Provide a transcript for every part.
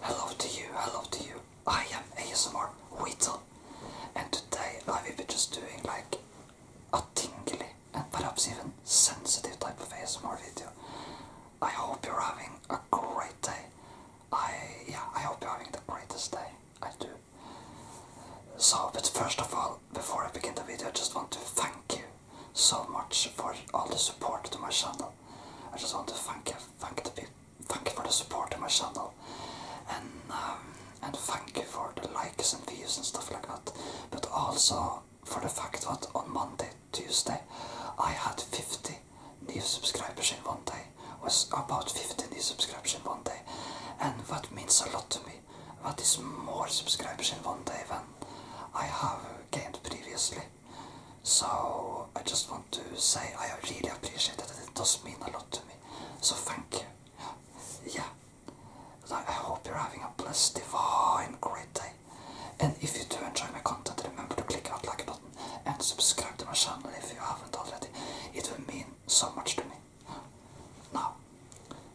Hello to you, hello to you. I am ASMR Weasel and today I will be just doing like a tingly and perhaps even sensitive type of ASMR video. I hope you're having a great day. I yeah, I hope you're having the greatest day. I do. So, but first of all, before I begin the video, I just want to thank you so much for all the support to my channel. I just want to thank you, thank the people, thank you for the support to my channel, and um, and thank you for the likes and views and stuff like that. But also for the fact that on Monday, Tuesday, I had 50 new subscriptions one day. Was about 50 new subscriptions one day, and that means a lot to me. That is more subscribers one day than I have previously. So I just want to say I really appreciate it. It does mean a lot to me. So thank you. Yeah. I hope you're having a blessed, divine, great day. And if you do enjoy my content, remember to click that like button and subscribe to my channel if you haven't already. It will mean so much to me. Now,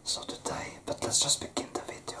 so today, but let's just begin the video.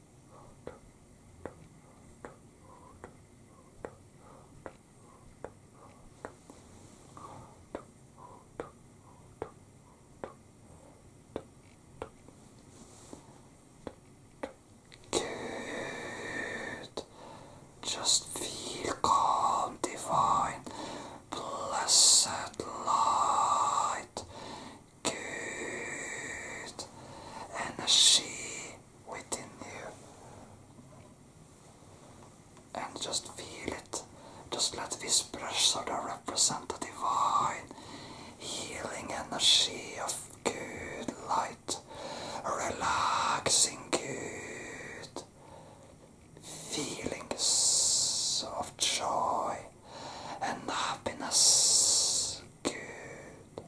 Good. Just feel calm, divine, blessed light good energy within you. And just feel it. Just let this brush pressure represent the divine healing energy of good light, relaxing good feelings of joy and happiness. Good. Good.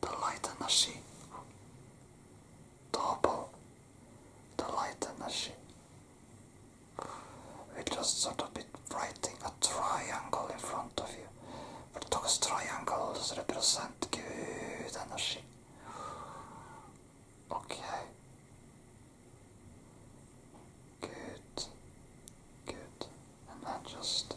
The delight nashi double the delight nashi it's just sort of be writing a triangle in front of you but those triangles represent good energy okay good good and then just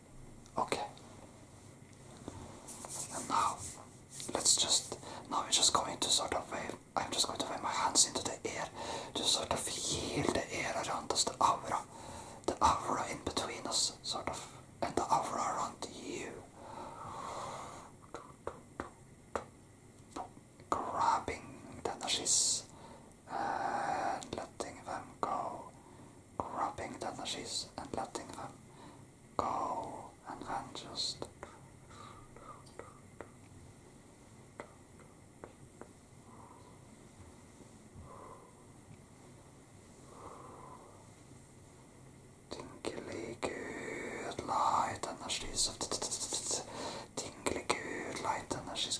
Okay. And now, let's just. Now we're just going to sort of wave. Uh, I'm just going to wave my hands into the air to sort of heal the air around us, the aura. The aura in between us, sort of. And the aura around you. Grabbing the energies and letting them go, grabbing the energies and letting them go, and then just Tingly good light energies of good light energies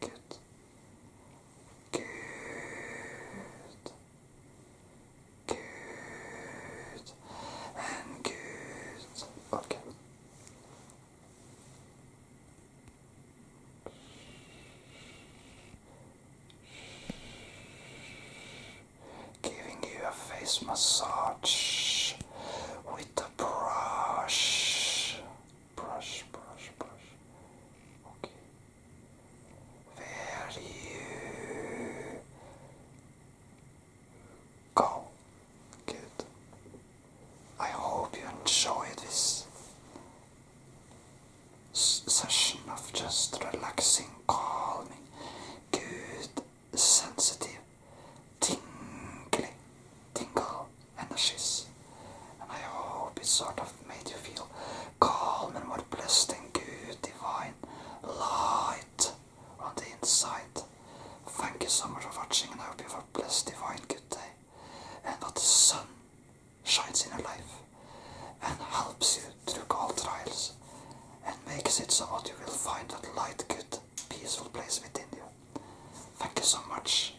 Good. Good. Good. And good. Okay. Giving you a face massage with a brush brush, brush, brush. Okay. Where you go? Good. I hope you enjoy this session of just relaxing, calming, good, sensitive, tingly, tingle energies. And I hope it sort of made you feel calm and more blessed and good, divine light on the inside. Thank you so much for watching and I hope you have a blessed, divine, good day. And that the sun shines in your life and helps you through all trials and makes it so that you will find that light, good, peaceful place within you. Thank you so much.